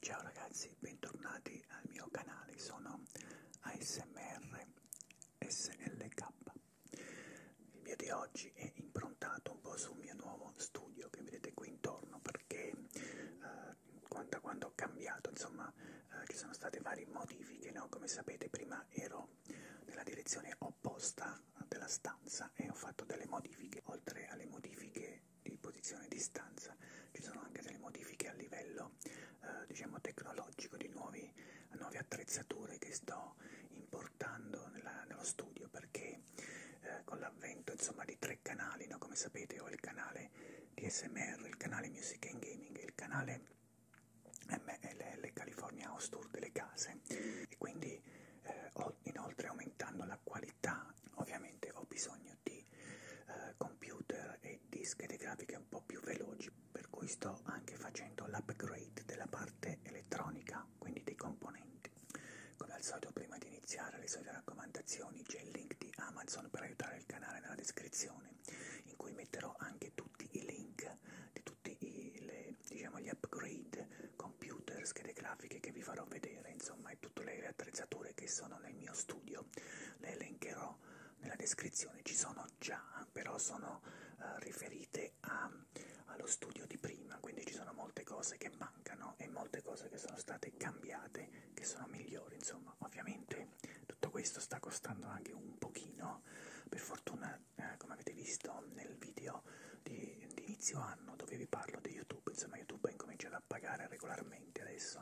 Ciao ragazzi, bentornati al mio canale, sono ASMR SLK. Il video di oggi è improntato un po' sul mio nuovo studio che vedete qui intorno perché eh, quando, quando ho cambiato, insomma, eh, ci sono state varie modifiche, no? come sapete prima ero nella direzione opposta della, della stanza e ho fatto delle modifiche. Oltre alle modifiche di posizione e di stanza ci sono anche delle modifiche a livello eh, diciamo tecnologico di nuovi, nuove attrezzature che sto importando nella, nello studio perché eh, con l'avvento insomma di tre canali, no? come sapete ho il canale di SMR, il canale Music and Gaming, il canale MLL California House Tour delle case e quindi eh, ho inoltre aumentando la qualità ovviamente ho bisogno di eh, computer e dischette grafiche un po' più veloci per cui sto anche facendo l'upgrade della parte elettronica quindi dei componenti come al solito prima di iniziare le solite raccomandazioni c'è il link di Amazon per aiutare il canale nella descrizione in cui metterò anche tutti i link di tutti i, le, diciamo, gli upgrade computer, schede grafiche che vi farò vedere, insomma, e tutte le attrezzature che sono nel mio studio le elencherò nella descrizione, ci sono già, però sono uh, riferite a, allo studio di prima, quindi ci sono molte cose che mancano e molte cose che sono state cambiate, che sono migliori, insomma, ovviamente tutto questo sta costando anche un pochino, per fortuna, eh, come avete visto nel video, di, di inizio anno dove vi parlo di YouTube, insomma YouTube ha incominciato a pagare regolarmente adesso,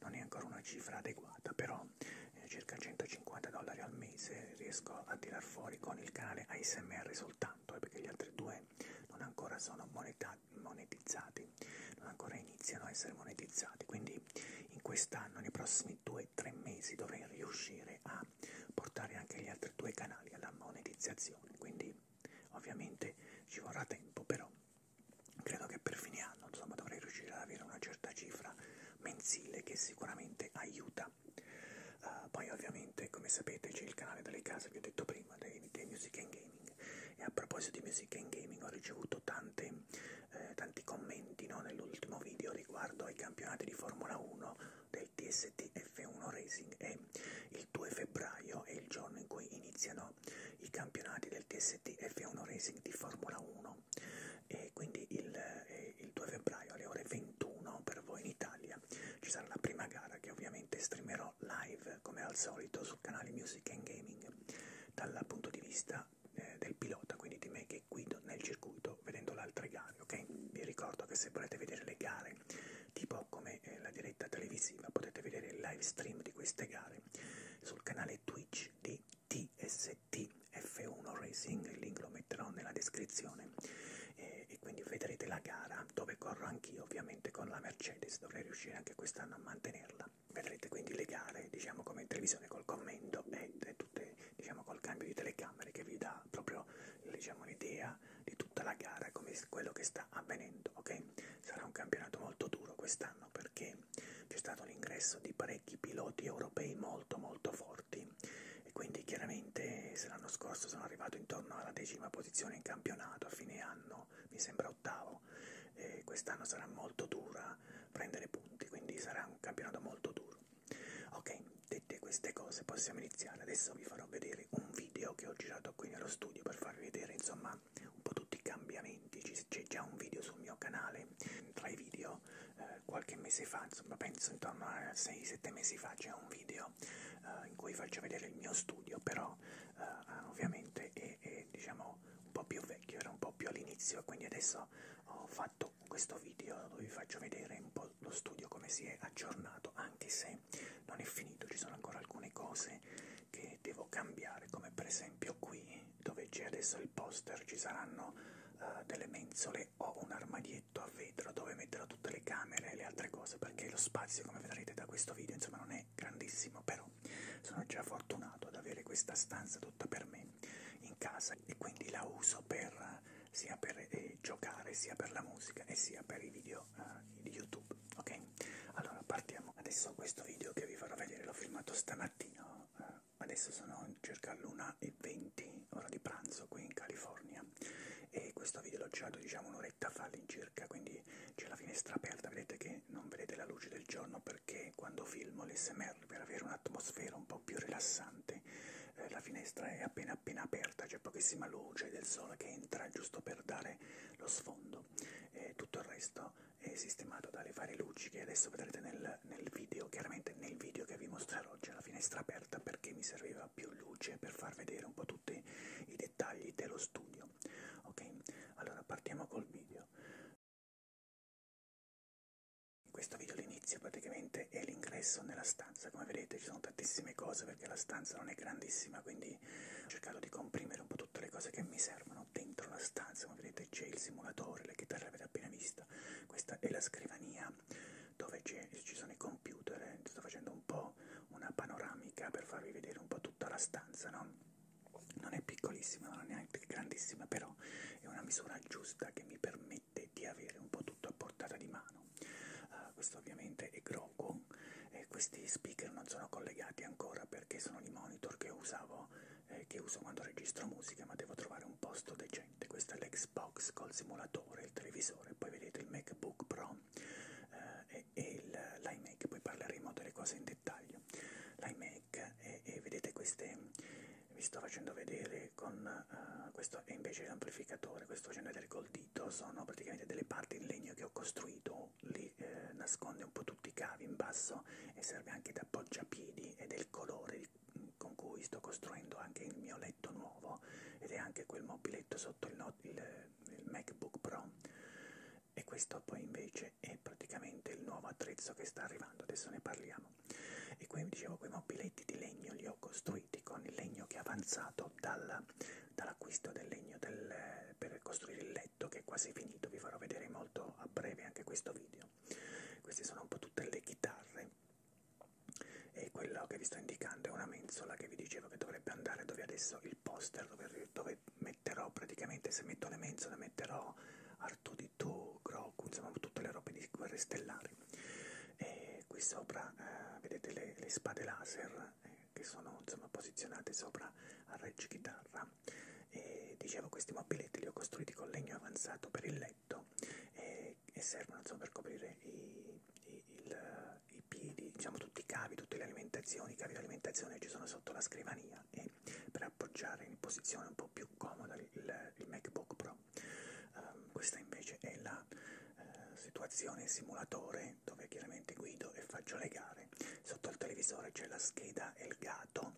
non è ancora una cifra adeguata, però eh, circa 150 dollari al mese riesco a tirar fuori con il canale ASMR soltanto, eh, perché gli altri due non ancora sono monetizzati, non ancora iniziano a essere monetizzati, quindi in quest'anno, nei prossimi 2-3 mesi dovrei riuscire a a portare anche gli altri due canali alla monetizzazione, quindi ovviamente ci vorrà tempo, però credo che per fine anno insomma, dovrei riuscire ad avere una certa cifra mensile che sicuramente aiuta. Uh, poi ovviamente come sapete c'è il canale delle case, vi ho detto prima, dei, dei Music and Gaming e a proposito di Music and Gaming ho ricevuto tante, eh, tanti commenti no, nell'ultimo video riguardo ai campionati di Formula 1 del TST F1 Racing e il 2 febbraio è il giorno in cui iniziano i campionati del TST F1 Racing di Formula 1 e quindi il, eh, il 2 febbraio alle ore 21 per voi in Italia ci sarà la prima gara che ovviamente streamerò live come al solito sul canale Music and Gaming dal punto di vista eh, del pilota, quindi di me che guido nel circuito vedendo le altre gare, ok? Vi ricordo che se volete vedere le gare tipo come eh, la diretta televisiva potete vedere il live stream di queste gare sul canale Twitch di TST F1 Racing, il link lo metterò nella descrizione eh, e quindi vedrete la gara dove corro anch'io ovviamente con la Mercedes, dovrei riuscire anche quest'anno a mantenerla. Vedrete quindi le gare diciamo come in televisione col commento e, e tutte diciamo col cambio di telecamere che vi dà proprio l'idea diciamo, finalità di tutta la gara, come quello che sta avvenendo, ok? Sarà un campionato molto duro quest'anno perché c'è stato l'ingresso di parecchi piloti europei molto molto forti e quindi chiaramente se l'anno scorso sono arrivato intorno alla decima posizione in campionato a fine anno, mi sembra ottavo, e quest'anno sarà molto dura prendere punti, quindi sarà un campionato molto duro. Ok, Dette queste cose possiamo iniziare, adesso vi farò vedere un video che ho girato qui nello studio per farvi vedere insomma un po' tutti i cambiamenti, c'è già un video sul mio canale, tra i video eh, qualche mese fa, insomma penso intorno a 6-7 mesi fa c'è un video eh, in cui faccio vedere il mio studio, però eh, ah, ovviamente è, è diciamo un po' più vecchio, era un po' più all'inizio, quindi adesso ho fatto questo video dove vi faccio vedere un po' lo studio come si è aggiornato, anche se non è finito, ci sono ancora alcune cose che devo cambiare, come per esempio qui dove c'è adesso il poster ci saranno uh, delle mensole o un armadietto a vetro dove metterò tutte le camere e le altre cose, perché lo spazio come vedrete da questo video insomma non è grandissimo, però sono già fortunato ad avere questa stanza tutta per me in casa e quindi la uso per sia per eh, giocare, sia per la musica e sia per i video eh, di YouTube, ok? Allora partiamo. Adesso questo video che vi farò vedere l'ho filmato stamattina, eh, adesso sono circa l'1.20 ora di pranzo qui in California e questo video l'ho girato diciamo un'oretta fa all'incirca, quindi c'è la finestra aperta, vedete che non vedete la luce del giorno perché quando filmo l'SMR per avere un'atmosfera un po' più rilassante eh, la finestra è appena appena aperta coperta, c'è pochissima luce del sole che entra giusto per dare lo sfondo e tutto il resto è sistemato dalle varie luci che adesso vedrete nel, nel video, chiaramente nel video che vi mostrerò c'è la finestra aperta perché mi serviva più luce per far vedere un po' tutti i dettagli dello studio. Ok, allora partiamo col video. Questo video all'inizio praticamente è l'ingresso nella stanza, come vedete ci sono tantissime cose, perché la stanza non è grandissima, quindi ho cercato di comprimere un po' tutte le cose che mi servono dentro la stanza. Come vedete c'è il simulatore, la chitarra l'avete appena vista, questa è la scrivania dove ci sono i computer, eh. sto facendo un po' una panoramica per farvi vedere un po' tutta la stanza, no? Non è piccolissima, non è neanche grandissima, però è una misura giusta che mi permette di avere un po' tutto a portata di mano. Uh, questo ovviamente è grosso micro con eh, questi speaker non sono collegati ancora perché sono i monitor che usavo eh, che uso quando registro musica ma devo trovare un posto decente questo è l'Xbox col simulatore il televisore poi vedete il MacBook Pro eh, e, e l'iMac poi parleremo delle cose in dettaglio l'iMac e, e vedete queste vi sto facendo vedere con uh, questo è invece l'amplificatore questo facendo vedere col D dito sono praticamente delle parti in legno che ho costruito, lì eh, nasconde un po' tutti i cavi in basso e serve anche da appoggiapiedi ed è il colore con cui sto costruendo anche il mio letto nuovo ed è anche quel mobiletto sotto il, no il, il MacBook Pro e questo poi invece è praticamente il nuovo attrezzo che sta arrivando, adesso ne parliamo. E qui dicevo quei mobiletti di legno li ho costruiti costruiti con il legno che è avanzato dal, dall'acquisto del legno del, per costruire il letto che è quasi finito, vi farò vedere molto a breve anche questo video. Queste sono un po' tutte le chitarre e quello che vi sto indicando è una mensola che vi dicevo che dovrebbe andare dove adesso il poster dove, dove metterò praticamente se metto le mensole metterò Artù di Tu, Groku, insomma tutte le robe di guerre stellari. E qui sopra eh, vedete le, le spade laser che sono insomma posizionate sopra arreggi chitarra e dicevo questi mobiletti li ho costruiti con legno avanzato per il letto e, e servono insomma per coprire i, i, il, i piedi diciamo tutti i cavi tutte le alimentazioni i cavi di alimentazione ci sono sotto la scrivania e per appoggiare in posizione un po' più comoda il, il macbook pro um, questa invece è la una eh, situazione simulatore dove chiaramente guido e faccio le gare. Sotto al televisore c'è la scheda Elgato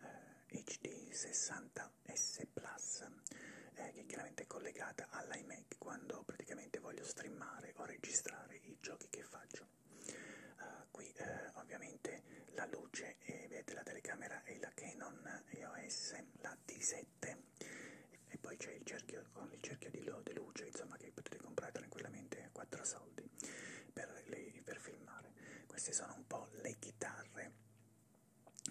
eh, HD 60S Plus eh, che è chiaramente collegata all'iMac quando praticamente voglio streamare o registrare i giochi che faccio. Uh, qui eh, ovviamente la luce e vedete la telecamera è la Canon EOS, la D7 7 e poi c'è il cerchio con il cerchio di, lo, di luce insomma che potete comprare tranquillamente a 4 soldi per, le, per filmare queste sono un po' le chitarre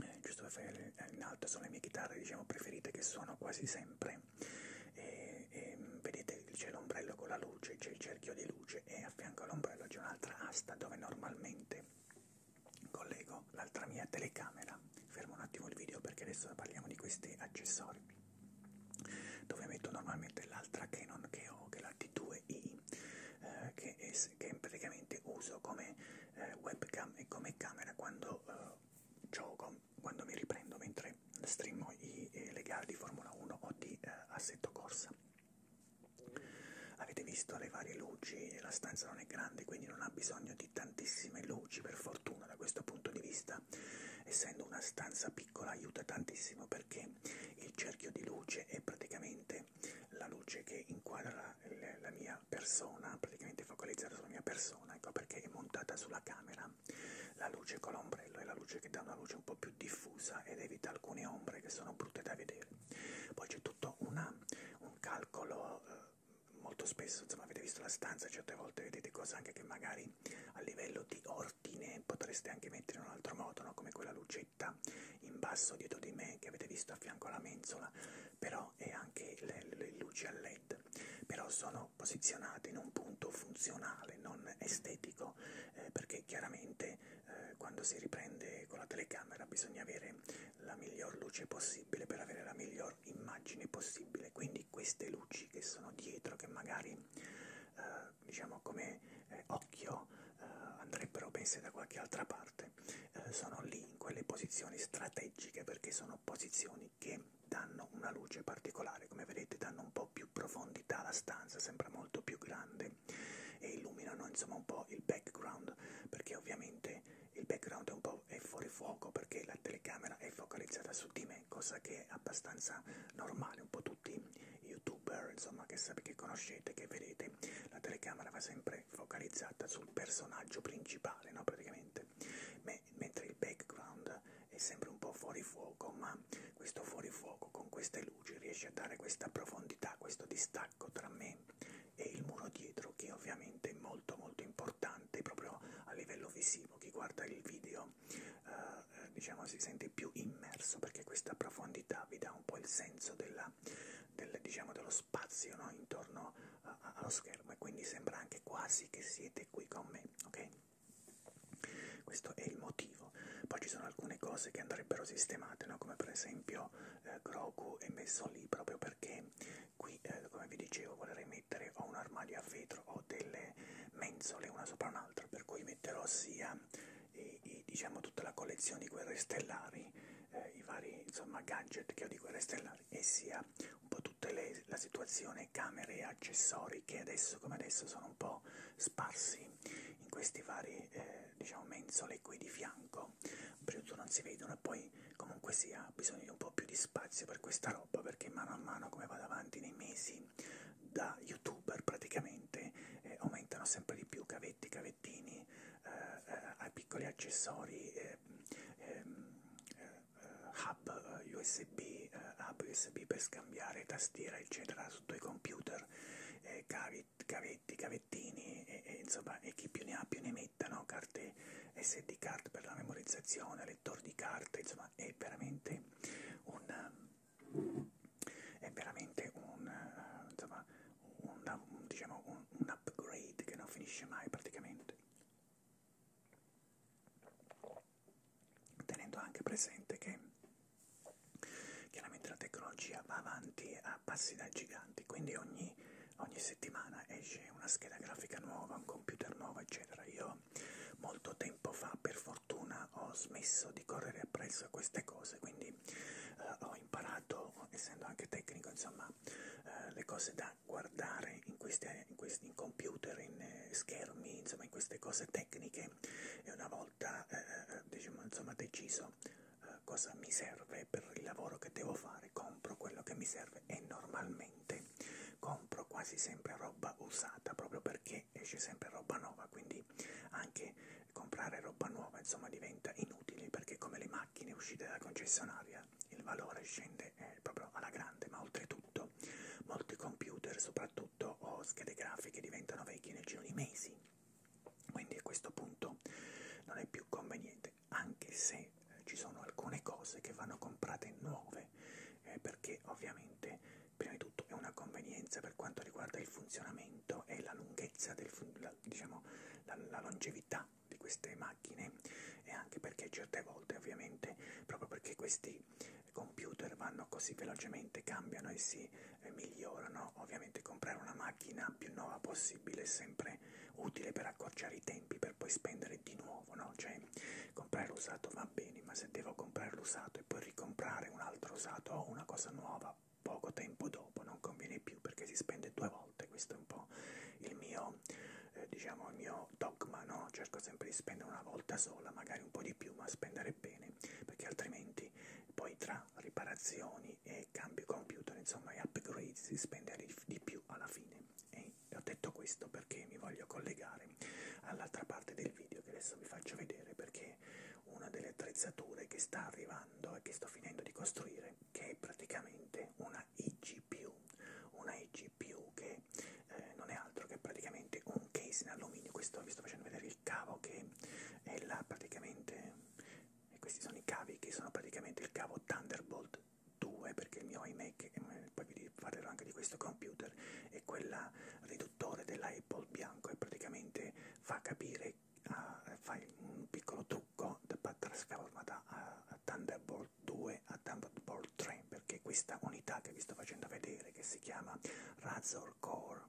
eh, giusto per fare eh, in alto sono le mie chitarre diciamo preferite che suono quasi sempre e, e vedete c'è l'ombrello con la luce c'è il cerchio di luce e a fianco all'ombrello c'è un'altra asta dove normalmente collego l'altra mia telecamera fermo un attimo il video perché adesso parliamo di questi accessori dove metto normalmente l'altra Canon che ho che è la T2i eh, che, è, che praticamente uso come eh, webcam e come camera quando eh, gioco quando mi riprendo mentre streamo i, eh, le gare di Formula 1 o di eh, assetto corsa avete visto le varie luci la stanza non è grande quindi non ha bisogno di tantissime luci per fortuna da questo punto di vista vita. Essendo una stanza piccola aiuta tantissimo perché il cerchio di luce è praticamente la luce che inquadra la, la mia persona, praticamente focalizzata sulla mia persona, ecco perché è montata sulla camera. La luce con l'ombrello è la luce che dà una luce un po' più diffusa ed evita alcune ombre che sono brutte da vedere. Poi c'è tutto una, un calcolo... Eh, molto spesso, insomma, avete visto la stanza, certe volte vedete cose anche che magari a livello di ordine potreste anche mettere in un altro modo, no? come quella lucetta in basso dietro di me che avete visto a fianco alla mensola, però e anche le, le luci a led, però sono posizionate in un punto funzionale, non estetico, eh, perché chiaramente eh, quando si riprende con la telecamera bisogna avere la miglior luce possibile per avere la miglior immagine possibile, quindi di queste luci che sono dietro, che magari, eh, diciamo come eh, occhio, eh, andrebbero messe da qualche altra parte, eh, sono lì in quelle posizioni strategiche perché sono posizioni che danno una luce particolare, come vedete danno un po' più profondità alla stanza, sembra molto più grande e illuminano insomma un po' il background perché ovviamente il background è un po' video è fuori fuoco perché la telecamera è focalizzata su di me, cosa che è abbastanza normale, un po' tutti i youtuber insomma che, che conoscete, che vedete, la telecamera va sempre focalizzata sul personaggio principale, no? Praticamente, me, mentre il background è sempre un po' fuori fuoco, ma questo fuori fuoco con queste luci riesce a dare questa profondità, questo distacco tra me e il muro dietro che ovviamente è molto molto importante proprio a livello visivo emotivo, chi guarda il video eh, eh, diciamo si sente più immerso perché questa profondità vi dà un po' il senso della, del, diciamo, dello spazio no? intorno a, eh, a, allo schermo e quindi sembra anche quasi che siete qui con me, ok? Questo è il motivo. Poi ci sono alcune cose che andrebbero sistemate, no? come per esempio eh, Grogu è messo lì proprio perché qui, eh, come vi dicevo, volerei mettere ho un armadio a vetro, ho delle mensole una sopra un'altra, per cui metterò sia i, eh, i, diciamo tutta la collezione di guerre stellari, eh, i vari insomma gadget che ho di guerre stellari e sia un po' tutta le, la situazione camere e accessori che adesso come adesso sono un po' sparsi in questi vari eh, diciamo mensole qui di fianco, per non si vedono e poi poi comunque sia bisogno di un po' più di spazio per questa roba perché mano a mano come vado avanti nei mesi da youtuber praticamente eh, aumentano sempre di più cavetti, cavettini, eh, eh, ai piccoli accessori, eh, ehm, eh, eh, hub eh, USB, eh, hub USB per scambiare tastiera eccetera sotto i computer, eh, cavetti, cavetti, cavettini e, e insomma e chi più ne ha più ne metta, no? carte SD card per la memorizzazione lettore di carte, insomma è veramente un, è veramente un, insomma, una, diciamo, un, un upgrade che non finisce mai praticamente. Tenendo anche presente che chiaramente la tecnologia va avanti a passi da giganti, quindi ogni, ogni settimana esce una scheda grafica nuova, un computer nuovo, eccetera. Io però molto tempo fa per fortuna ho smesso di correre appresso a queste cose, quindi eh, ho imparato, essendo anche tecnico, insomma, eh, le cose da guardare in, queste, in, questi, in computer, in eh, schermi, insomma, in queste cose tecniche e una volta, eh, eh diciamo, insomma, deciso eh, cosa mi serve per il lavoro che devo fare, compro quello che mi serve e normalmente niente compro quasi sempre roba usata proprio perché esce sempre roba nuova quindi anche comprare roba nuova insomma diventa inutile perché come le macchine uscite dalla concessionaria il valore scende eh, proprio alla grande ma oltretutto molti computer soprattutto o schede grafiche diventano vecchie nel giro di mesi quindi a questo punto non è più conveniente anche se che eh, ci sono alcune cose che vanno comprate nuove eh, perché ovviamente prima di tutto è una convenienza per quanto riguarda il funzionamento e la lunghezza, del la, diciamo la, la longevità di queste macchine e anche perché certe volte ovviamente proprio perché questi computer vanno così velocemente, cambiano e si eh, migliorano, ovviamente comprare una macchina più nuova possibile è sempre utile per accorciare i tempi per poi spendere di nuovo, no? cioè comprare l'usato va bene, ma se devo comprare l'usato e poi ricomprare un altro usato o una cosa nuova poco tempo dopo non conviene più perché si spende due volte, questo è un po' il mio, eh, diciamo, il mio dogma, no? cerco sempre di spendere una volta sola, magari un po' di più, ma spendere bene, perché altrimenti poi tra riparazioni e cambio computer, insomma, e upgrade si spende di più alla fine e ho detto questo perché mi voglio collegare all'altra parte del video che adesso vi faccio vedere perché una delle attrezzature che sta arrivando e che sto finendo di costruire che è praticamente una IGPU, una IGPU che eh, non è altro che praticamente un case in alluminio, questo vi sto facendo vedere il cavo che è là praticamente, e questi sono i cavi che sono praticamente il cavo Thunderbolt due perché il mio iMac, poi vi parlerò anche di questo computer, e quella riduttore dell'Apple bianco e praticamente fa capire, uh, fa un piccolo trucco da trasforma da uh, Thunderbolt 2 a Thunderbolt 3 perché questa unità che vi sto facendo vedere che si chiama Razor Core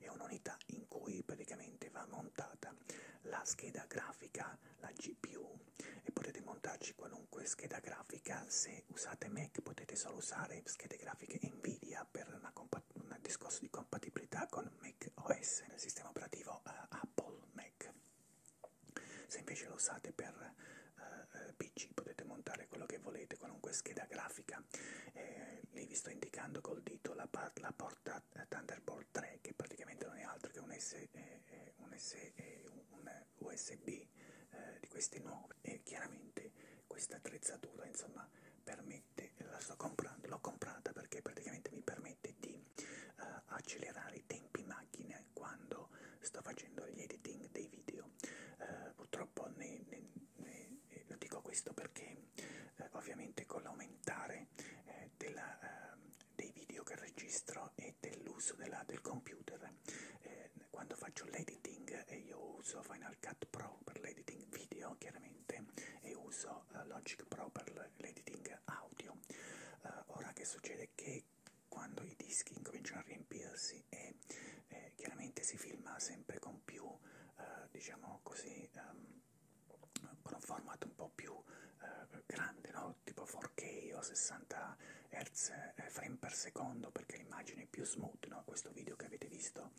è un'unità in cui praticamente va montata la scheda grafica, la GPU e potete montarci qualunque scheda grafica, se usate Mac potete solo usare schede grafiche Nvidia per una un discorso di compatibilità con Mac OS, il sistema operativo uh, Apple Mac. Se invece lo usate per uh, eh, eh, PC potete montare quello che volete, qualunque scheda grafica. Eh, lì vi sto indicando col dito la, la porta uh, Thunderbolt 3 che praticamente non è altro che un, S, eh, un, S, eh, un, un USB eh, di questi nuovi e chiaramente questa attrezzatura insomma permette, la sto comprando, l'ho comprata perché praticamente mi permette di eh, accelerare i tempi macchina quando sto facendo gli editing dei video. Eh, purtroppo ne, ne, ne, eh, lo dico questo perché eh, ovviamente con l'aumentare eh, della, eh, dei video che registro e dell'uso del computer eh, quando faccio l'editing e io uso Final Cut Pro per l'editing video chiaramente e uso uh, Logic Pro per l'editing audio uh, ora che succede che quando i dischi incominciano a riempirsi e eh, chiaramente si filma sempre con più uh, diciamo così um, con un formato un po' più uh, grande no? tipo 4K o 60 Hz eh, frame per secondo perché l'immagine è più smooth, no? questo video che avete visto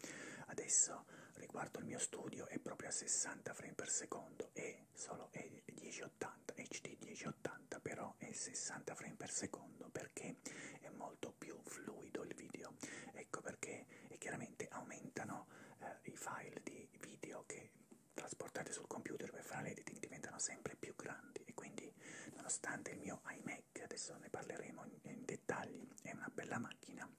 adesso riguardo il mio studio è proprio a 60 frame per secondo e solo è 1080, HD 1080 però è 60 frame per secondo perché è molto più fluido il video, ecco perché e chiaramente aumentano eh, i file di video che trasportate sul computer per fare l'editing diventano sempre più grandi e quindi ok? Nonostante il mio iMac, adesso ne parleremo in, in dettagli, è una bella macchina,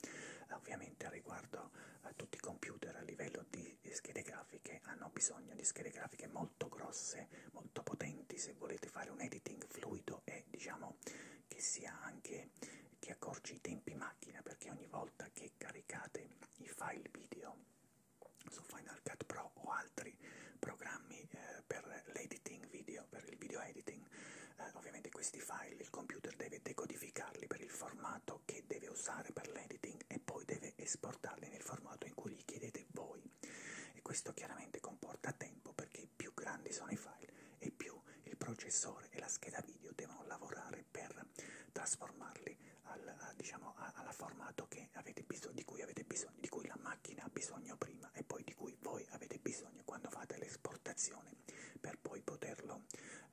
eh, ovviamente riguardo a tutti i computer a livello di, di schede grafiche hanno bisogno di schede grafiche molto grosse, molto potenti se volete fare un editing fluido e diciamo che sia anche che accorci i tempi macchina perché ogni volta che caricate i file video su Final Cut Pro o altri programmi eh, per l'editing video, per il video editing. Eh, ovviamente questi file il computer deve decodificarli per il formato che deve usare per l'editing e poi deve esportarli nel formato in cui gli chiedete voi. E questo chiaramente comporta tempo perché più grandi sono i file e più il processore e la scheda video devono lavorare per trasformarli al, a, diciamo, a, alla formato che avete bisogno, di cui avete bisogno informazioni di cui la macchina ha bisogno prima e poi di cui voi avete bisogno quando fate l'esportazione per poi poterlo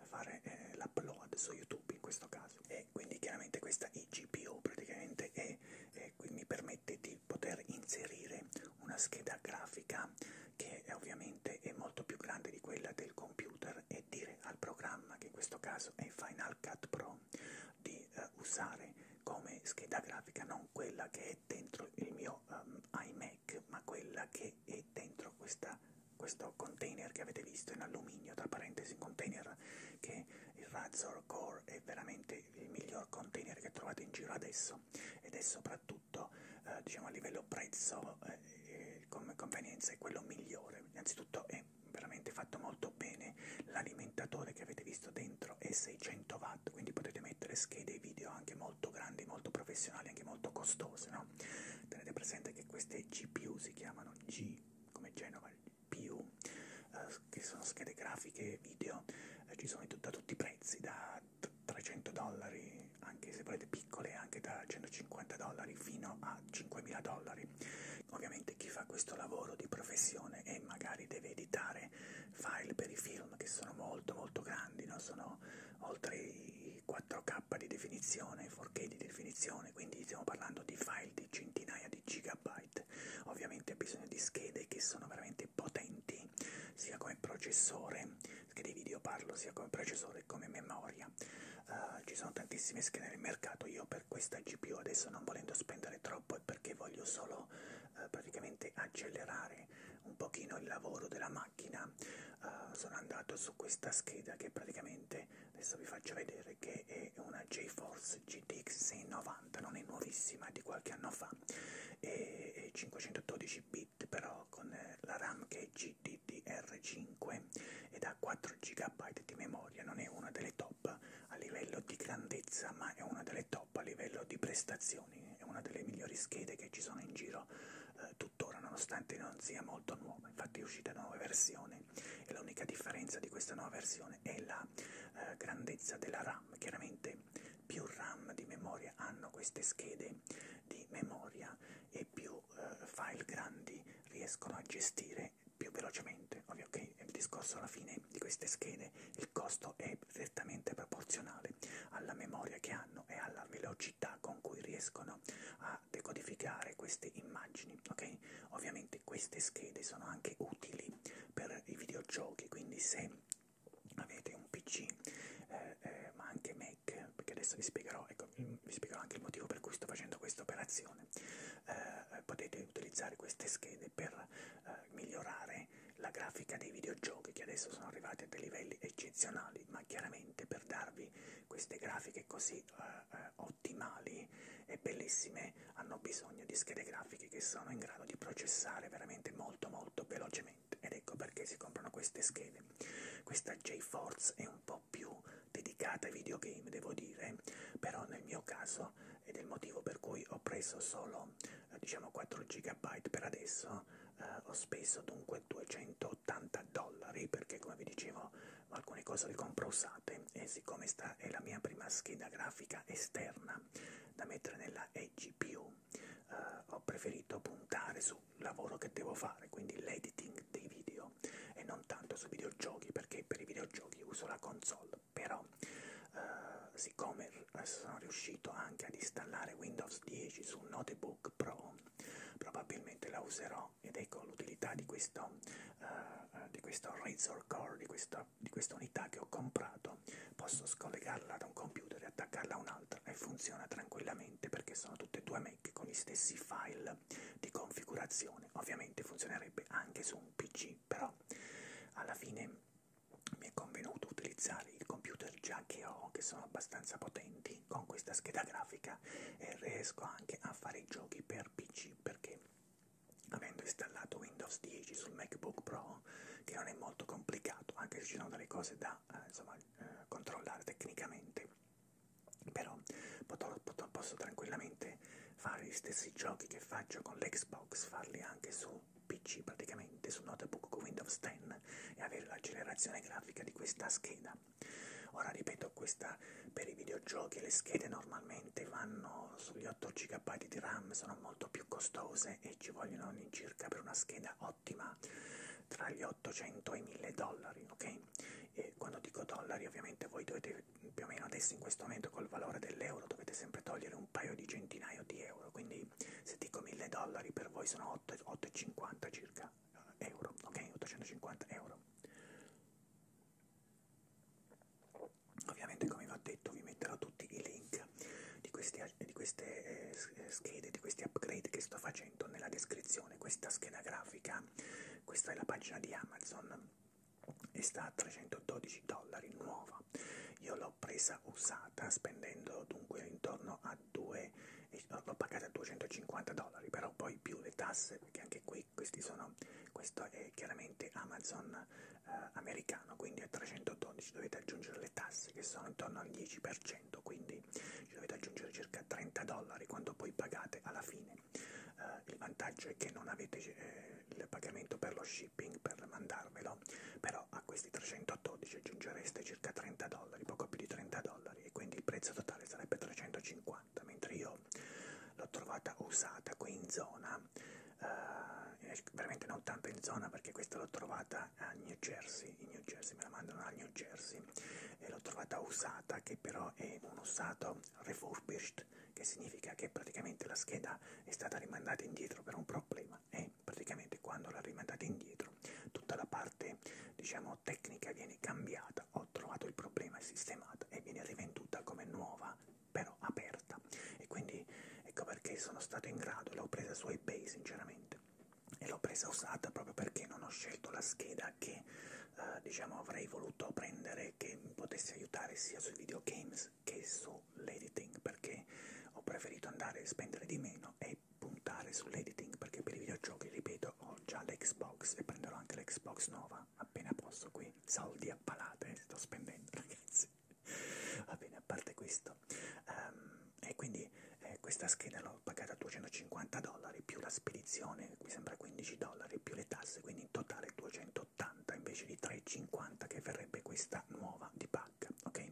fare eh, l'upload su YouTube in questo caso. E quindi chiaramente questa IGPU praticamente è, eh, mi permette di poter inserire una scheda grafica che è ovviamente è molto più grande di quella del computer e dire al programma che in questo caso è Final Final Cut Pro di eh, usare come scheda grafica non quella che è dentro il mio um, iMac, ma quella che è dentro questa, questo container che avete visto in alluminio, tra parentesi un container che il Razor Core è veramente il miglior container che trovate in giro adesso ed è soprattutto eh, diciamo, a livello prezzo eh, eh come convenienza è quello migliore, innanzitutto è veramente fatto molto bene, l'alimentatore che avete visto dentro è 600 watt, quindi potete mettere schede video anche molto grandi, molto professionali, anche molto costose, no? Tenete presente che queste GPU si chiamano G come Genova, PU, eh, che sono schede grafiche video, eh, ci sono da tutti i prezzi, da 300 dollari, anche se volete piccole, anche da 150 dollari fino a 5.000 dollari materiali. Ovviamente chi fa questo lavoro di professione e magari deve editare file per i film che sono molto molto grandi, no? sono oltre i 4K di definizione, 4K di definizione, quindi stiamo parlando di file di centinaia di gigabyte. Ovviamente ha bisogno di schede che sono veramente potenti, sia come processore, schede video parlo, sia come processore che come memoria. Uh, ci sono tantissime schede nel mercato, io per questa GPU adesso non volendo spendere troppo è perché voglio solo eh, praticamente accelerare un pochino il lavoro della macchina uh, sono andato su questa scheda che praticamente adesso vi faccio vedere che è una GeForce GTX 690 non è nuovissima è di qualche anno fa e, e 512 bit però con eh, la RAM che è GDDR5 ed ha 4 GB di memoria non è una delle top a livello di grandezza, ma è una delle top a livello di prestazioni, è una delle migliori schede che ci sono in giro eh, tuttora, nonostante non sia molto nuova. Infatti è uscita nuove versioni e l'unica differenza di questa nuova versione è la eh, grandezza della RAM. Chiaramente più RAM di memoria hanno queste schede di memoria e più eh, file grandi riescono a gestire fare più velocemente. Ovvio che il discorso alla fine di queste schede, il costo è direttamente proporzionale alla memoria che hanno e alla velocità con cui riescono a decodificare queste immagini, ok? Ovviamente queste schede sono anche utili per i videogiochi, quindi se avete un PC eh, eh, ma anche Mac, perché adesso vi spiegherò, ecco, mm, vi spiegherò anche il motivo per cui sto facendo questa operazione, eh, potete utilizzare queste schede per eh, migliorare la grafica dei videogiochi che adesso sono arrivati a dei livelli eccezionali, ma chiaramente per darvi queste grafiche così eh, eh, ottimali e bellissime hanno bisogno di schede grafiche che sono in grado di processare veramente molto molto velocemente ed ecco perché si comprano queste schede. Questa JForce è un po' più dedicata ai videogame, devo dire, però nel mio caso ed è il motivo per cui ho preso solo eh, diciamo 4 GB per adesso, eh, ho speso dunque 280 dollari perché come vi dicevo alcune cose le compro usate e siccome sta è la mia prima scheda grafica esterna da mettere nella eGPU eh, ho preferito puntare sul lavoro che devo fare, quindi l'editing dei video e non tanto su videogiochi perché per i videogiochi uso la console però eh, siccome sono riuscito anche ad installare Windows 10 su un Notebook Pro, probabilmente la userò ed ecco l'utilità di questo, eh, di questo Razor Core, di questa, di questa unità che ho comprato, posso scollegarla da un computer e attaccarla a un'altra e funziona tranquillamente perché sono tutte e due Mac con gli stessi file di configurazione, ovviamente funzionerebbe anche su un PC così, però alla fine mi è convenuto utilizzare i computer già che ho, che sono abbastanza potenti, con questa scheda grafica e riesco anche a fare i giochi per PC perché avendo installato Windows 10 sul MacBook Pro, che non è molto complicato, anche se ci sono delle cose da eh, insomma, eh, controllare tecnicamente, però posso, posso tranquillamente fare gli stessi giochi che faccio con l'Xbox, farli anche su PC praticamente, su notebook con Windows 10 e avere l'accelerazione grafica di questa scheda. Ora ripeto, questa per i videogiochi le schede normalmente vanno sugli 8 GB di RAM, sono molto più costose e ci vogliono all'incirca per una scheda ottima tra gli 800 e i 1000 dollari, ok? E quando dico dollari ovviamente voi dovete più o meno adesso in questo momento col valore dell'euro dovete sempre togliere un paio di centinaio di euro, quindi se dico 1000 dollari per voi sono 8,50 circa euro, ok? 850 euro. Ovviamente come vi ho detto vi metterò tutti i link di, questi, di queste eh, schede, di questi upgrade che sto facendo nella descrizione, questa scheda grafica, questa è la pagina di Amazon e sta a 312 dollari nuova. Io l'ho presa usata spendendo dunque intorno a 2, l'ho pagata a 250 dollari, però poi più le tasse, perché anche qui questi sono, questo è chiaramente Amazon eh, americano, quindi a 312 dovete aggiungere le tasse che sono intorno al 10%, quindi ci dovete aggiungere circa 30 dollari quando poi pagate alla fine. Eh, il vantaggio è che non avete eh, il pagamento per lo shipping shipping per mandarvelo, però a questi 312 aggiungereste circa 30 dollari, poco più di 30 dollari, e quindi il prezzo totale sarebbe 350, mentre io l'ho trovata usata qui in zona, eh, veramente non tanto in zona perché questa l'ho trovata a New Jersey, in New Jersey me la mandano a New Jersey, e l'ho trovata usata che però è un usato refurbished shift, che significa che praticamente la scheda è stata rimandata indietro per un problema e praticamente quando l'ha rimandata indietro tutta la parte diciamo tecnica viene cambiata, ho trovato il problema, è sistemata e viene rivenduta come nuova però aperta e quindi ecco perché sono stato in grado, l'ho presa su eBay sinceramente e l'ho presa usata proprio perché non ho scelto la scheda che eh, diciamo avrei voluto prendere che mi potesse aiutare sia sui videogames Netflix che su l'editing perché ho preferito andare a spendere di meno e puntare sull'editing perché per i videogiochi, ripeto, ho già l'Xbox e prenderò anche l'Xbox nuova appena posso qui, soldi a palate eh, sto spendendo ragazzi, va bene, a parte questo, um, e quindi eh, questa scheda l'ho pagata 250 dollari più la spedizione, mi sembra 15 dollari più le tasse, quindi in totale 200 3,80 invece di 3,50 che verrebbe questa nuova di pacca, ok? Eh,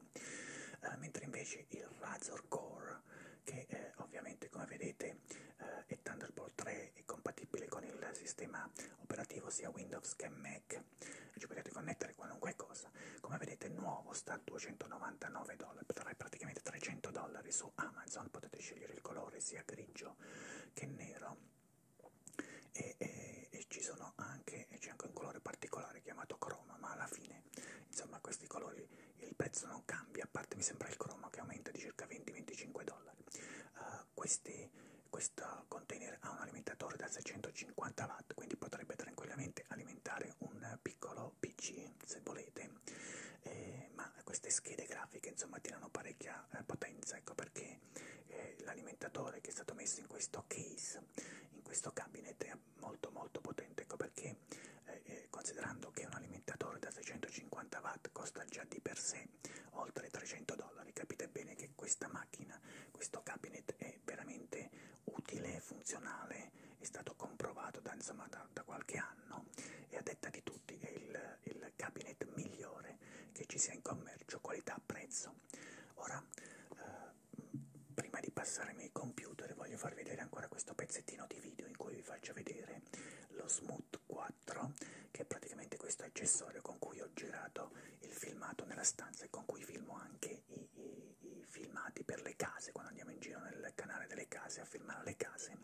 mentre invece il Razor Core, che eh, ovviamente come vedete eh, è Thunderbolt 3, è compatibile con il sistema operativo sia Windows che Mac, ci potete connettere qualunque cosa, come vedete nuovo sta a 299 dollari, praticamente 300 dollari su Amazon, potete scegliere il colore sia grigio che nero e, e, e ci sono anche c'è anche un colore particolare chiamato croma ma alla fine insomma questi colori il prezzo non cambia a parte mi sembra il croma che aumenta di circa 20-25 dollari uh, questi, questo container ha un alimentatore da 650 watt quindi potrebbe tranquillamente alimentare un piccolo pc se volete eh, ma queste schede grafiche insomma tirano parecchia eh, potenza ecco perché come eh, l'alimentatore che è stato messo in questo case, in questo cabinet è molto molto potente, ecco perché eh, eh considerando che un alimentatore da 650 watt costa già di per sé oltre 300 dollari, capite bene che questa macchina, questo cabinet è veramente utile, funzionale, è stato comprovato da, insomma, da, da qualche anno e a detta di tutti è il, il cabinet migliore che ci sia in commercio, qualità, prezzo video. Ora, eh, prima di passare nei computer, voglio far vedere ancora questo pezzettino di video in cui vi faccio vedere lo Smooth 4, che è praticamente questo accessorio con cui ho girato il filmato nella stanza e con cui filmo anche i, i, i filmati per le case, quando andiamo in giro nel canale delle case a filmare le case.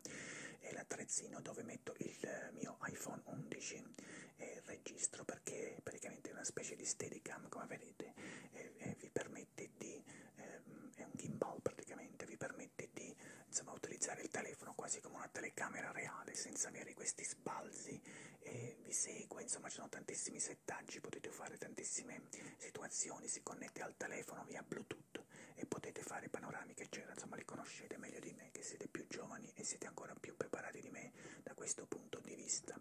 È l'attrezzino dove metto il eh, mio iPhone 11 eh, registro perché praticamente è una specie di steadicam come vedete eh, eh, vi permette di eh, è un gimbal praticamente vi permette di insomma, utilizzare il telefono quasi come una telecamera reale senza avere questi sbalzi eh, vi segue insomma ci sono tantissimi settaggi potete fare tantissime situazioni si connette al telefono via bluetooth e potete fare panoramiche eccetera insomma li conoscete meglio di me che siete più giovani giovani e siete ancora più preparati di me da questo punto di vista.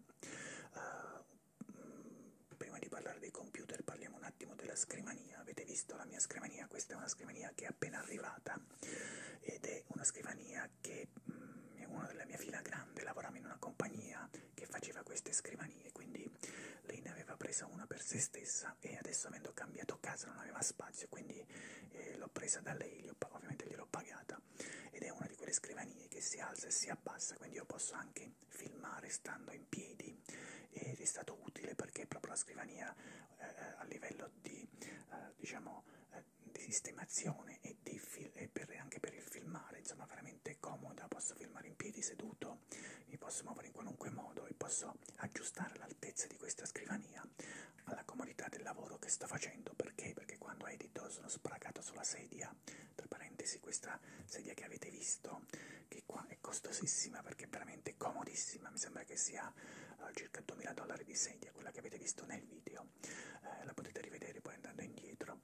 Uh, eh, mh, mm, prima di parlare dei computer parliamo un attimo della scrivania. Avete visto la mia scrivania? Questa è una scrivania che è appena arrivata ed è una scrivania che mh, mm, è una della mia fila grande, lavorava in una compagnia che faceva queste scrivanie, quindi lei ne aveva presa una per se stessa e adesso avendo cambiato casa non aveva spazio, quindi eh, l'ho presa da lei, ho, ovviamente gliel'ho pagata seduta ed è una di quelle scrivanie che si alza e si abbassa, quindi io posso anche filmare stando in piedi ed è stato utile perché proprio la scrivania eh, eh, a livello di, eh, diciamo, eh, di sistemazione e, di e per, anche per il filmare, insomma, veramente comoda, posso filmare in piedi seduto, mi posso muovere in qualunque modo e posso aggiustare l'altezza di questa scrivania alla comodità del lavoro che sto facendo perché? Perché quando edito sono sbracato sulla sedia, tra parentesi questa sedia che avete visto, che qua è costosissima perché è veramente comodissima, mi sembra che sia uh, circa 2000 dollari di sedia, quella che avete visto nel video, eh, la potete rivedere poi andando indietro,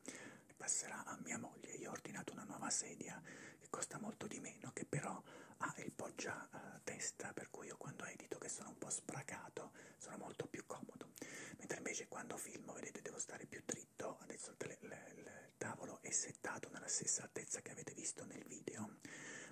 passerà a mia moglie, io ho ordinato una nuova sedia che costa molto di meno, che però ha il poggia uh, testa vista, per cui io quando edito che sono un po' spracato sono molto più comodo, mentre invece quando filmo, vedete, devo stare più dritto, adesso il, il, il tavolo è settato nella stessa altezza che avete visto nel video,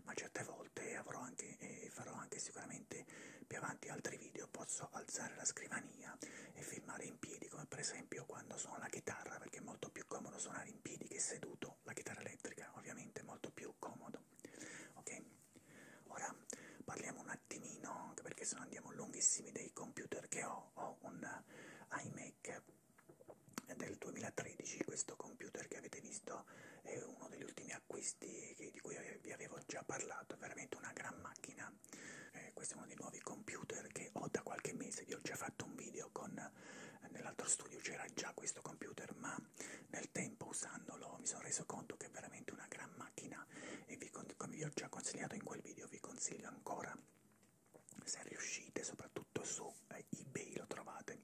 ma certe volte avrò anche e eh, farò anche sicuramente più avanti altri video, posso alzare la scrivania e filmare in piedi, come per esempio quando suono la chitarra, perché è molto più comodo suonare in piedi che seduto, la chitarra elettrica ovviamente è molto più comodo, ok? Ora parliamo un attimino, anche perché se no andiamo lunghissimi, dei computer che ho. Ho un eh, iMac del 2013, questo computer che avete visto è uno degli ultimi acquisti che, di cui vi avevo già parlato, è veramente una gran macchina. Eh, questo è uno dei nuovi computer che ho da qualche mese, vi ho già fatto un video con, eh, nell'altro studio c'era già questo computer, ma nel tempo usandolo mi sono reso conto che è veramente una gran macchina e vi, come vi ho già consigliato in quel video vi consiglio ancora se riuscite soprattutto su eh, ebay lo trovate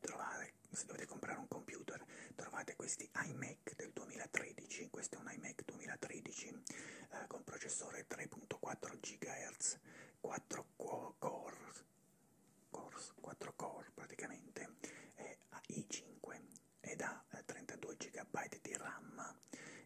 trovate se dovete comprare un computer trovate questi iMac del 2013 questo è un iMac 2013 eh, con processore 3.4 GHz 4 core 4 core praticamente eh, i5 ed ha 32 GB di RAM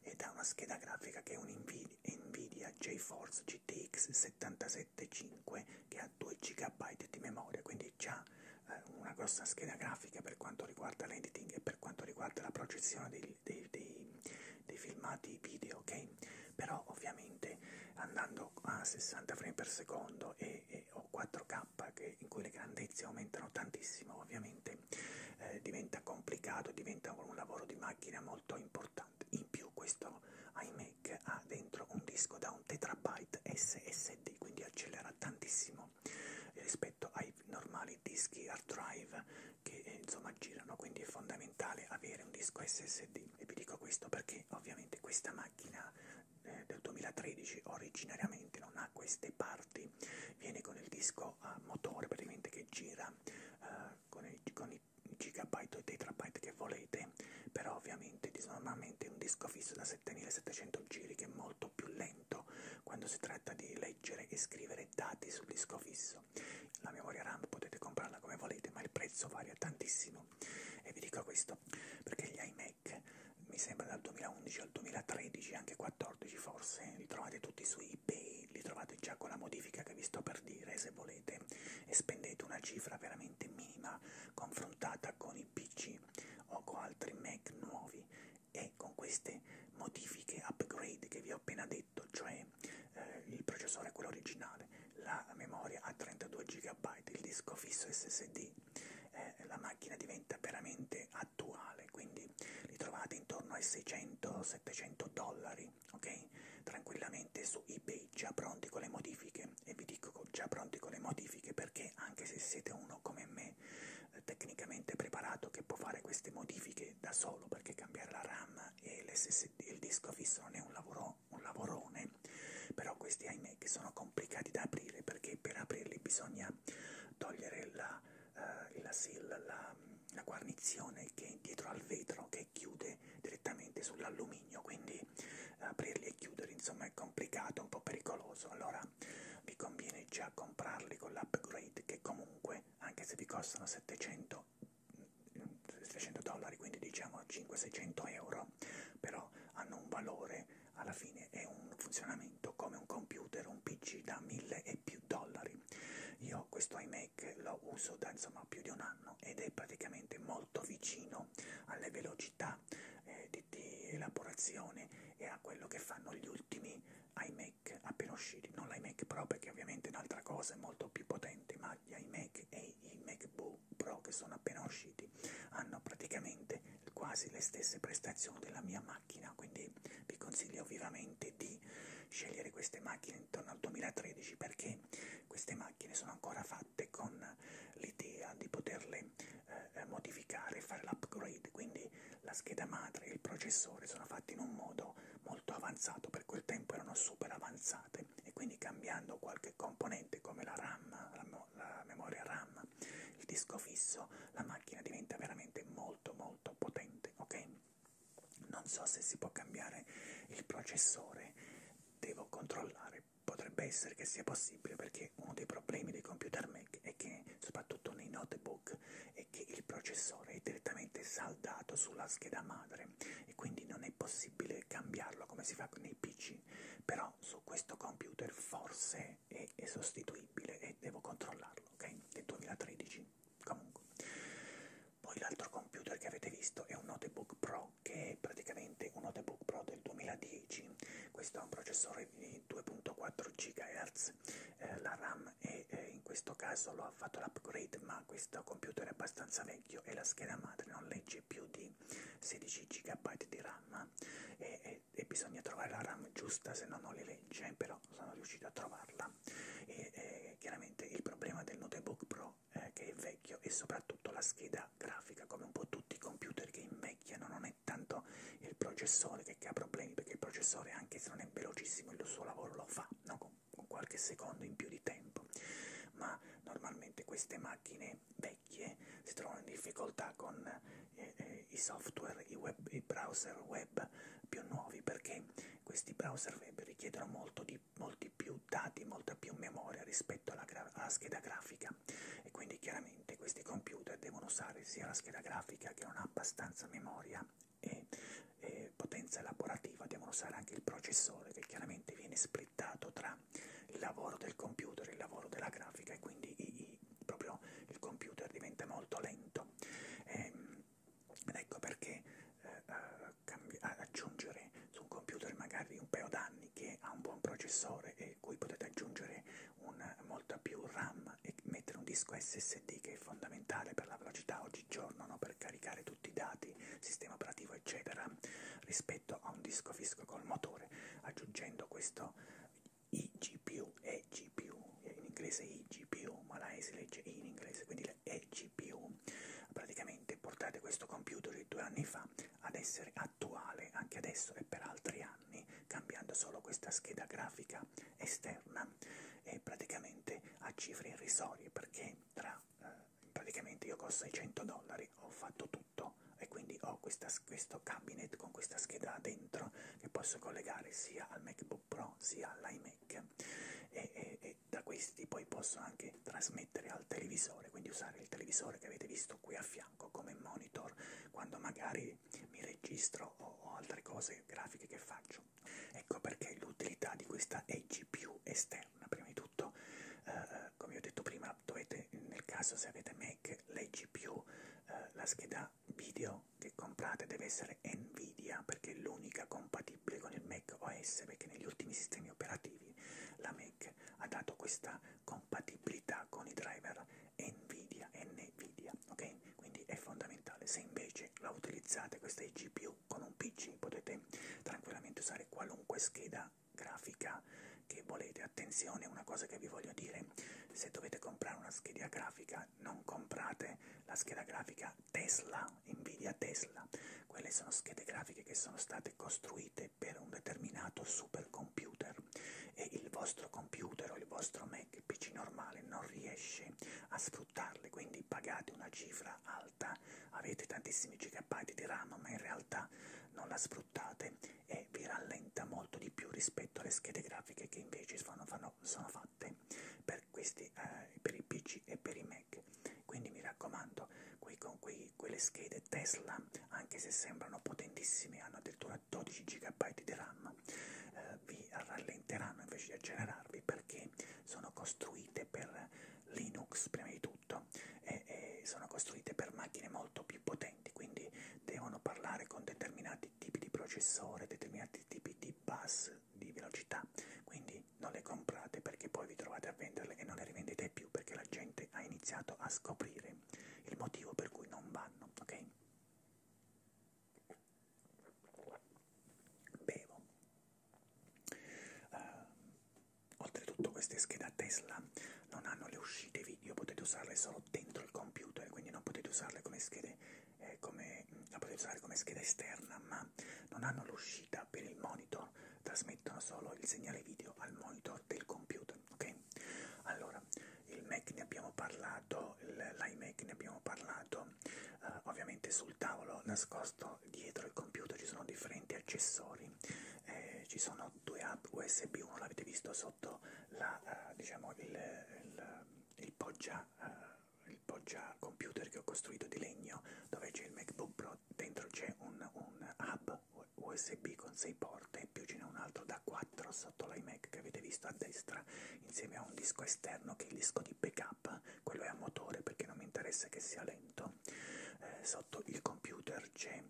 ed ha una scheda grafica che è un Nvidia GeForce GTX 775 che ha 2 GB di memoria, quindi già eh, una grossa scheda grafica per quanto riguarda l'editing e per quanto riguarda la projezione dei, dei, dei, dei filmati video, ok? Però ovviamente andando a 60 frame per secondo e, eh, o 4K che, in cui le grandezze aumentano tantissimo, ovviamente eh, diventa complicato, diventa un lavoro di macchina molto importante. In più questo iMac ha dentro un disco da un terabyte SSD, quindi accelera tantissimo eh, rispetto ai normali dischi hard drive che eh, insomma girano, quindi è fondamentale avere un disco SSD. E vi dico questo perché ovviamente questa macchina macchina eh, del 2013 originariamente non ha queste parti, viene con il disco a motore praticamente che gira eh, con, i, con i gigabyte o i terabyte che volete, però ovviamente normalmente è un disco fisso da 7700 giri che è molto più lento quando si tratta di leggere e scrivere dati sul disco fisso. La memoria RAM potete comprarla come volete, ma il prezzo varia tantissimo e vi dico questo perché gli iMac Trek, mi sembra dal 2011 al 2013, anche 14 forse, li trovate tutti su eBay, li trovate già con la modifica che vi sto per dire se volete e spendete una cifra veramente minima confrontata con i PC o con altri Mac nuovi e con queste modifiche upgrade che vi ho appena detto, cioè eh, il processore è quello originale, la memoria a 32 GB, il disco fisso SSD eh, la macchina diventa veramente attuale, quindi li trovate intorno ai 600-700 dollari, ok? Tranquillamente su eBay, già pronti con le modifiche, e vi dico già pronti con le modifiche perché anche se siete uno come me eh, tecnicamente preparato che può fare queste modifiche da solo perché cambiare la RAM e l'SSD, il disco fisso non è un, lavoro, un lavorone, però questi ahimè che sono complicati da aprire perché per aprirli bisogna togliere la, uh, la, la, la, la guarnizione che è dietro al vetro che chiude direttamente sull'alluminio quindi eh, aprirli e chiudere insomma è complicato, un po' pericoloso allora vi conviene già comprarli con l'upgrade che comunque anche se vi costano 700 300 mm, dollari quindi diciamo 500-600 euro però, però hanno un valore, alla fine è un funzionamento come un computer, un PC da 1000 e più dollari. Io questo iMac lo uso da insomma più di un anno ed è praticamente molto vicino alle velocità eh, di, di elaborazione e a quello che fanno gli ultimi iMac appena usciti, non l'iMac Pro perché ovviamente è un'altra cosa, è molto più potente, ma gli iMac e i MacBook Pro che sono appena usciti hanno praticamente quasi le stesse prestazioni della mia macchina, quindi vi consiglio vivamente di scegliere queste macchine intorno al 2013 perché queste macchine sono ancora fatte con l'idea di poterle eh, eh, modificare, fare l'upgrade, quindi la scheda madre e il processore sono fatti in un modo molto avanzato, per quel tempo erano super avanzate e quindi cambiando qualche componente come la RAM, RAM abbiamo la memoria RAM, il disco fisso, la macchina diventa veramente molto molto potente, ok? Non so se si può cambiare il processore, devo controllare, potrebbe essere che sia possibile perché uno dei problemi dei computer Mac è che, soprattutto nei notebook, è che il processore è direttamente saldato sulla scheda madre e quindi non è possibile cambiarlo come si fa nei PC, però su questo computer forse è, è, è sostituibile e devo controllarlo, ok? È 2013, comunque. Poi l'altro computer che avete visto è un Notebook Pro, che è praticamente un Notebook Pro del 2010. Questo ha un processore di 2.4 GHz, eh, la RAM è, eh, in questo caso l'ho fatto l'upgrade, ma questo computer è abbastanza vecchio e la scheda madre non legge più di 16 GB di RAM e, eh, e eh, e bisogna trovare la RAM giusta se no non li legge però sono riuscito a trovarla e eh, chiaramente il problema del notebook pro eh, che è vecchio e soprattutto la scheda grafica come un po' tutti i computer che invecchiano non è tanto il processore che, che ha problemi perché il processore anche se non è velocissimo il suo lavoro lo fa no? con, con qualche secondo in più di tempo ma normalmente queste macchine persone vecchie si trovano in difficoltà con eh, eh, i software, i, web, i browser web più nuovi perché questi browser web richiedono molto di, molti più dati, molta più memoria rispetto alla, alla scheda grafica e quindi chiaramente questi computer devono usare sia la scheda grafica che non ha abbastanza memoria e, e potenza elaborativa, devono usare anche il processore che chiaramente viene splittato tra il lavoro del computer, il lavoro della grafica e quindi i, i, proprio il computer diventa molto lento. E, ehm, ed ecco perché eh, aggiungere su un computer magari un paio d'anni che ha un buon processore e cui potete aggiungere un, molta più RAM e mettere un disco SSD che è fondamentale per la velocità oggigiorno no? per caricare tutti i dati, sistema operativo eccetera rispetto a un disco fisco col motore aggiungendo questo IGPU, EGPU, in inglese IGPU, ma la E si legge I in inglese, quindi la EGPU. Praticamente portate questo computer di due anni fa ad essere attuale anche adesso e per altri anni, cambiando solo questa scheda grafica esterna e praticamente a cifre irrisorie perché tra eh, praticamente io con 600 dollari ho fatto tutto sotto e quindi ho questa, questo cabinet con questa scheda dentro che posso collegare sia al MacBook Pro sia all'iMac e, e, e da questi poi posso anche trasmettere al televisore, quindi usare il televisore che avete visto qui a fianco come monitor quando magari mi registro o, o altre cose grafiche che faccio. Ecco perché l'utilità di questa è GPU esterna, prima di tutto, eh, eh, come ho detto prima, dovete ovviamente nel caso se avete Mac le GPU, eh, la scheda video che comprate deve essere Nvidia perché è l'unica compatibile con il Mac OS perché negli ultimi sistemi operativi la Mac ha dato questa compatibilità con i driver Nvidia, Nvidia, ok? Quindi è fondamentale. Se invece la utilizzate questa GPU con un PC potete tranquillamente usare qualunque scheda grafica che volete. Attenzione, una cosa che vi voglio dire, se dovete comprare una scheda grafica, non comprate la scheda grafica Tesla, Nvidia Tesla. Quelle sono schede grafiche che sono state costruite per un determinato supercomputer e il vostro computer o il vostro Mac PC normale non riesce a sfruttarle, quindi pagate una cifra alta, avete tantissimi gigabyte di RAM, ma in realtà non la sfruttate sfruttate e vi rallenta molto di più rispetto alle schede grafiche che invece sono, fanno, sono fatte per, questi, eh, per i PC e per i Mac. Quindi mi raccomando, quei, con quei, quelle schede Tesla, anche se sembrano potentissime, hanno addirittura 12 GB di RAM, eh, vi rallenteranno invece di accelerarvi perché sono costruite per Linux prima di tutto e, e sono costruite per macchine molto più potenti potenti, quindi devono parlare con determinati tipi di processore, determinati tipi di bus di velocità, quindi non le comprate perché poi vi trovate a venderle e non le rivendete più perché la gente ha iniziato a scoprire il motivo per cui non vanno, ok? Bevo. Uh, oltretutto queste schede a Tesla non hanno le uscite video video potete usarle solo dentro il computer, quindi non potete usarle come schede, eh, come, la potete usare come scheda esterna, ma non hanno l'uscita per il monitor, trasmettono solo il segnale video al monitor del computer, ok? Allora, il Mac ne abbiamo parlato, l'iMac ne abbiamo parlato, eh, ovviamente sul tavolo nascosto dietro il computer ci sono differenti accessori, eh, ci sono due app USB, uno l'avete visto sotto la, uh, diciamo il, il, il, poggia, uh, il poggia computer che ho costruito di legno dove c'è il MacBook Pro, dentro c'è un, un hub USB con 6 porte, più ce n'è un altro da 4 sotto l'iMac che avete visto a destra, insieme a un disco esterno che è il disco di backup, quello è a motore perché non mi interessa che sia lento. Eh, sotto il computer c'è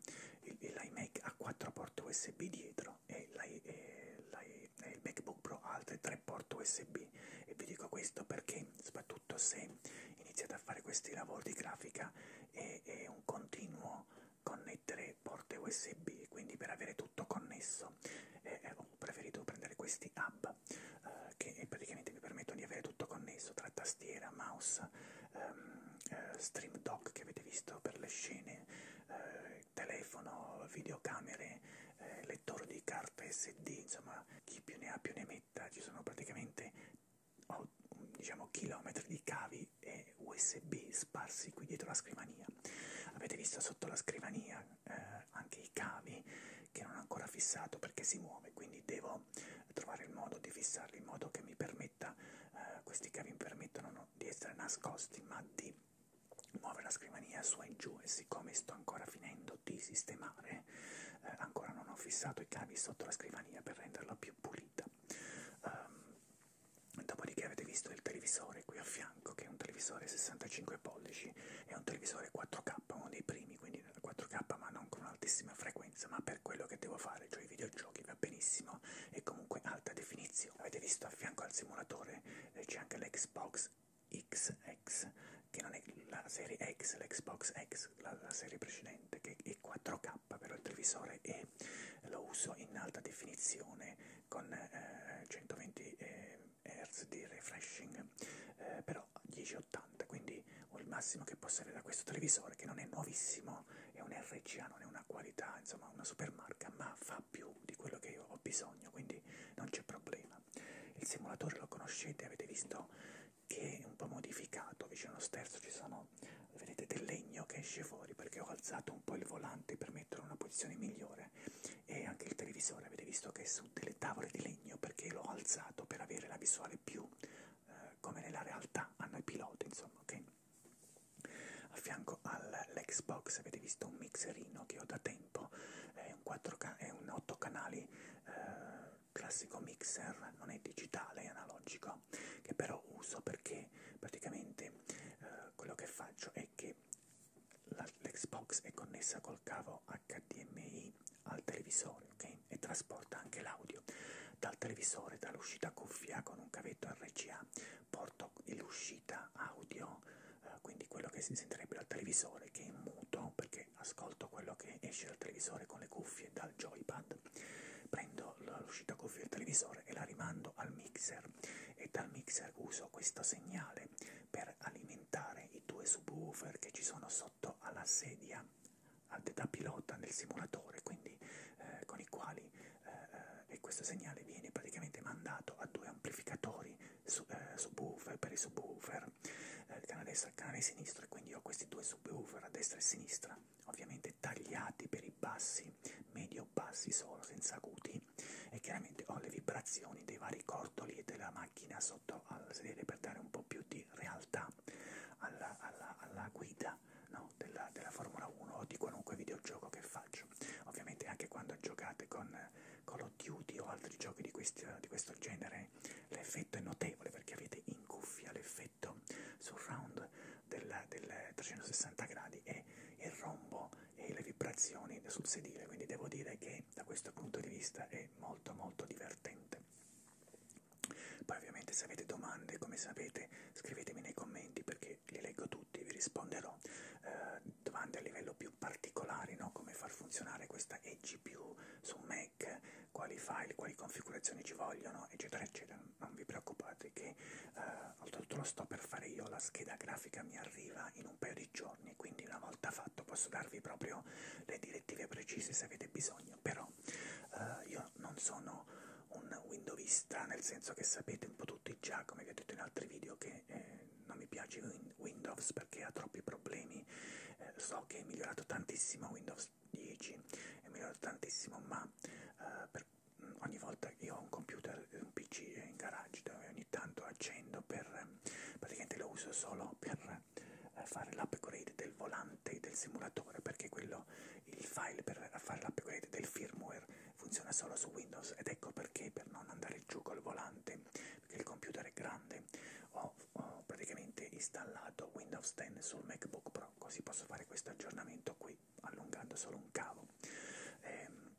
l'iMac a 4 porte USB dietro e, la, e, la, e il MacBook Pro ha altre tre porte USB e vi dico questo perché soprattutto se iniziate a fare questi lavori di grafica è, è un continuo connettere porte USB quindi per avere tutto connesso eh, ho preferito prendere questi hub eh, che praticamente mi permettono di avere tutto connesso tra tastiera, mouse, ehm, eh, stream dock che avete visto per le scene eh, telefono, videocamere, eh, lettore di carta SD, insomma chi più ne ha più ne metta, ci sono praticamente oh, diciamo chilometri di cavi e USB sparsi qui dietro la scrivania. Avete visto sotto la scrivania eh, anche i cavi che non ho ancora fissato perché si muove, quindi devo trovare il modo di fissarli in modo che mi permetta permetta, eh, questi cavi permettono non di essere nascosti ma di muovere la scrivania su e giù e siccome sto ancora finendo di sistemare eh, ancora non ho fissato i cavi sotto la scrivania per renderla più pulita um, dopodiché avete visto il televisore qui a fianco che è un televisore 65 pollici è un televisore 4K uno dei primi quindi 4K ma non con altissima frequenza ma per quello che devo fare cioè i video videogiochi va benissimo e comunque alta definizione. Avete visto a fianco al simulatore eh, c'è anche l'Xbox XX, che non è la serie X, l'Xbox X, la, la serie precedente, che è 4K però il televisore e lo uso in alta definizione con eh, 120 eh, Hz di refreshing, eh, però 1080, quindi ho il massimo che posso avere da questo televisore che non è nuovissimo, è un RCA, non è un una qualità, insomma una supermarca, ma fa più di quello che io ho bisogno, quindi non c'è problema. Il simulatore lo conoscete, avete visto che è un po' modificato, vicino allo sterzo ci sono, vedete, del legno che esce fuori perché ho alzato un po' il volante per metterlo in una posizione migliore e anche il televisore, avete visto che è su delle tavole di legno perché l'ho alzato per avere la visuale più eh, come nella realtà hanno i piloti, insomma, ok? a fianco all'Xbox avete visto un mixerino che ho da tempo è un, 4K, è un 8 canali eh, classico mixer non è digitale, è analogico che però uso perché praticamente eh, quello che faccio è che l'Xbox è connessa col cavo HDMI al televisore okay? e trasporta anche l'audio dal televisore dall'uscita cuffia con un cavetto RCA porto l'uscita audio, eh, quindi quello che si sentirebbe dal televisore, che è in muto perché ascolto quello che esce dal televisore con le cuffie dal joypad, prendo l'uscita cuffie del televisore e la rimando al mixer e dal mixer uso questo segnale per alimentare i due subwoofer che ci sono sotto alla sedia da pilota nel simulatore, quindi eh, con i quali eh, e questo segnale viene praticamente mandato a due amplificatori su, eh, subwoofer per i subwoofer, eh, il canale destro e il canale sinistro, e quindi ho questi due subwoofer a destra e a sinistra, ovviamente tagliati per i bassi, medio-bassi solo, senza acuti, e chiaramente ho le vibrazioni dei vari cordoli e della macchina sotto al sedere per dare un po' più di realtà alla, alla, alla guida modalità no, della, della Formula 1 o di qualunque videogioco che faccio. Ovviamente anche quando giocate con Call of Duty o altri giochi di, questi, di questo genere l'effetto è notevole perché avete in cuffia l'effetto surround del, del 360 gradi e il rombo e le vibrazioni sul sedile, quindi devo dire che da questo punto di vista è molto molto divertente. Poi ovviamente se avete domande, come sapete, scrivetemi nei commenti perché poi li leggo tutti, vi risponderò. Eh, domande a livello più particolari, no? come far funzionare questa eGPU su Mac, quali file, quali configurazioni ci vogliono, eccetera, eccetera. Non vi preoccupate che eh, oltretutto lo sto per fare io, la scheda grafica mi arriva in un paio di giorni, quindi una volta fatto posso darvi proprio le direttive precise se avete bisogno, però eh, io non sono un windowista, nel senso che sapete un po' tutti già, come vi ho detto in altri video, che eh, non mi piace Windows perché ha troppi problemi. Eh, so che è migliorato tantissimo Windows 10, è migliorato tantissimo, ma eh, per, mm, ogni volta che io ho un computer, un PC in garage dove ogni tanto accendo per eh, praticamente lo uso solo per eh, fare l'upgrade del volante del simulatore perché quello il file per fare l'upgrade del firmware funziona solo su Windows ed ecco perché per non andare giù col volante, perché il computer è grande, ho, ho praticamente installato Windows 10 sul MacBook Pro, così posso fare questo aggiornamento qui allungando solo un cavo. Ehm,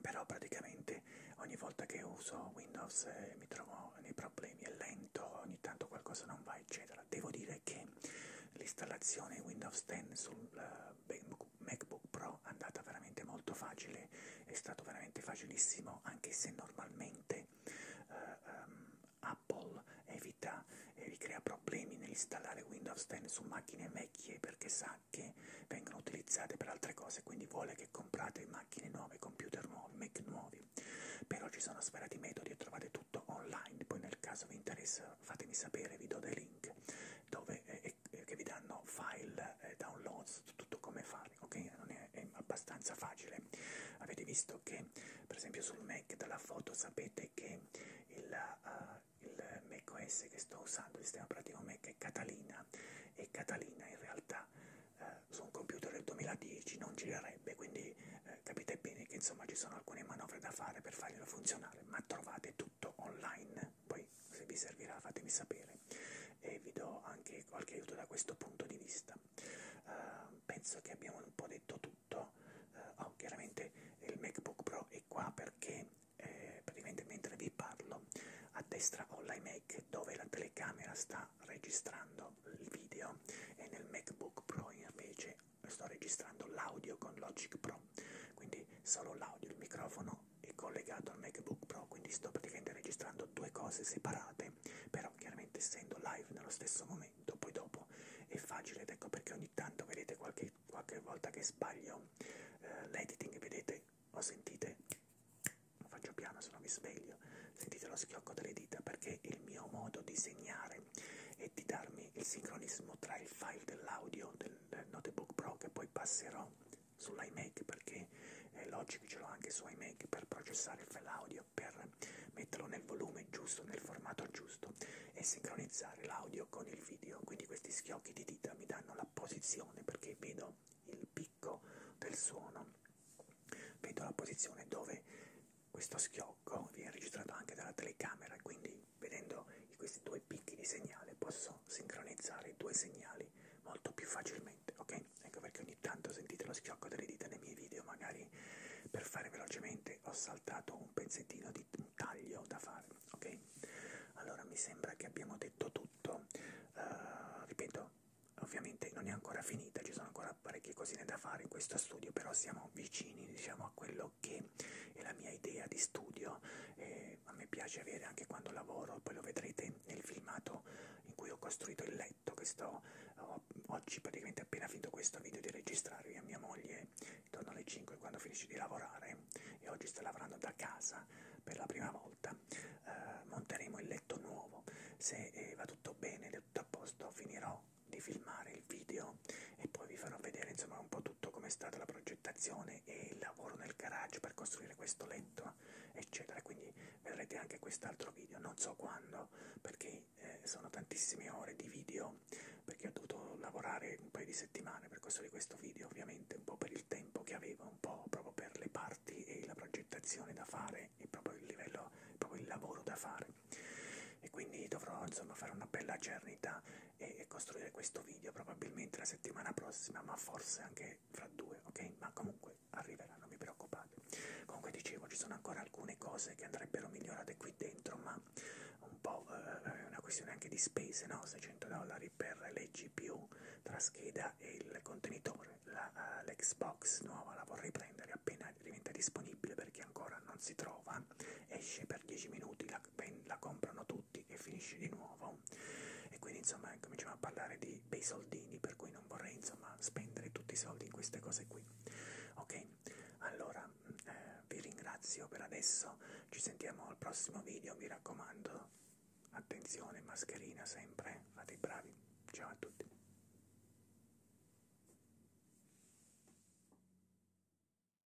però praticamente ogni volta che uso Windows eh, mi trovo nei problemi, è lento, ogni tanto qualcosa non va eccetera. Devo dire che l'installazione Windows 10 sul uh, MacBook Pro è andata veramente molto facile, è stato veramente facilissimo anche se normalmente uh, um, Apple evita e vi crea problemi nell'installare Windows 10 su macchine vecchie perché sa che vengono utilizzate per altre cose, quindi vuole che comprate macchine nuove, computer nuovi, Mac nuovi. Però ci sono svariati metodi e trovate tutto online, poi nel caso vi interessa eh, fatemi sapere, vi do dei link dove, eh, eh, eh che vi danno file, eh, downloads, tutto come fare, ok? Non è, è abbastanza facile. Avete visto che, per esempio, sul Mac dalla foto sapete che il, uh, il Mac OS che sto usando, il sistema operativo Mac, è Catalina e Catalina in realtà uh, su un computer del 2010 non girerebbe, quindi uh, capite bene che insomma ci sono alcune manovre da fare per farglielo funzionare, ma trovate tutto tutto online, poi se vi servirà fatemi sapere e vi do anche qualche aiuto da questo punto di vista. Uh, penso che abbiamo un po' detto tutto, uh, oh, chiaramente il MacBook Pro è qua perché eh, praticamente mentre vi parlo a destra ho l'iMac dove la telecamera sta registrando il video e nel MacBook Pro invece sto registrando l'audio con Logic Pro, quindi solo l'audio, il microfono è collegato al MacBook Pro, quindi sto praticamente registrando due cose separate, però chiaramente essendo live nello stesso momento, poi dopo è facile, ed ecco perché ogni tanto vedete qualche, qualche volta che sbaglio eh, l'editing, vedete o sentite, lo faccio piano se no mi sveglio, sentite lo schiocco delle dita perché il mio modo di segnare e di darmi il sincronismo tra il file dell'audio del del Notebook Pro che poi passerò sull'iMac perché eh, Logic ce l'ho anche su iMac per processare il file audio, per metterlo nel volume giusto, nel formato giusto e sincronizzare l'audio con il video. Quindi questi schiocchi di dita mi danno la posizione perché vedo il picco del suono, vedo la posizione dove questo schiocco viene registrato anche dalla telecamera, quindi Vedendo questi due picchi di segnale posso sincronizzare i due segnali molto più facilmente, ok? Ecco perché ogni tanto sentite lo schiocco delle dita nei miei video, magari per fare velocemente ho saltato un pezzettino di un taglio da fare, ok? Allora mi sembra che abbiamo detto tutto, uh, ripeto, ovviamente non è ancora finita, ci sono ancora parecchie cosine da fare in questo studio, però siamo vicini diciamo a quello quello che è la mia idea di studio, eh, a me piace avere anche quando lavoro, poi lo vedrete nel filmato in cui ho costruito il letto che sto oh, oggi praticamente appena finito questo video di registrarvi a mia moglie intorno alle 5 quando finisce di lavorare e oggi sto lavorando da casa per la prima volta eh, monteremo il letto nuovo se eh, va tutto bene ed è tutto a posto finirò di filmare il video video e poi vi farò vedere insomma un po' tutto com'è stata la progettazione e il lavoro nel garage per costruire questo letto eccetera quindi vedrete anche quest'altro video non so quando perché eh, sono tantissime ore di video perché ho dovuto lavorare un paio di settimane per costruire questo video ovviamente un po' per il tempo che avevo un po' proprio per le parti e la progettazione da fare e proprio il livello proprio il lavoro da fare e quindi dovrò insomma fare una bella giornata e costruire questo video probabilmente la settimana prossima, ma forse anche fra due, ok? Ma comunque arriverà, non vi preoccupate. Comunque dicevo, ci sono ancora alcune cose che andrebbero migliorate qui dentro, ma un po' eh, è una questione anche di spese, no? 600 dollari per le GPU tra scheda e il contenitore. Eh, L'Xbox uh, nuova la vorrei prendere appena diventa disponibile perché ancora non si trova, esce per 10 minuti la la comprano tutti e finisce di nuovo e quindi insomma cominciamo a parlare di, dei soldini per cui non vorrei insomma spendere tutti i soldi in queste cose qui ok allora mm, eh, vi ringrazio per adesso ci sentiamo al prossimo video mi raccomando attenzione mascherina sempre fate i bravi ciao a tutti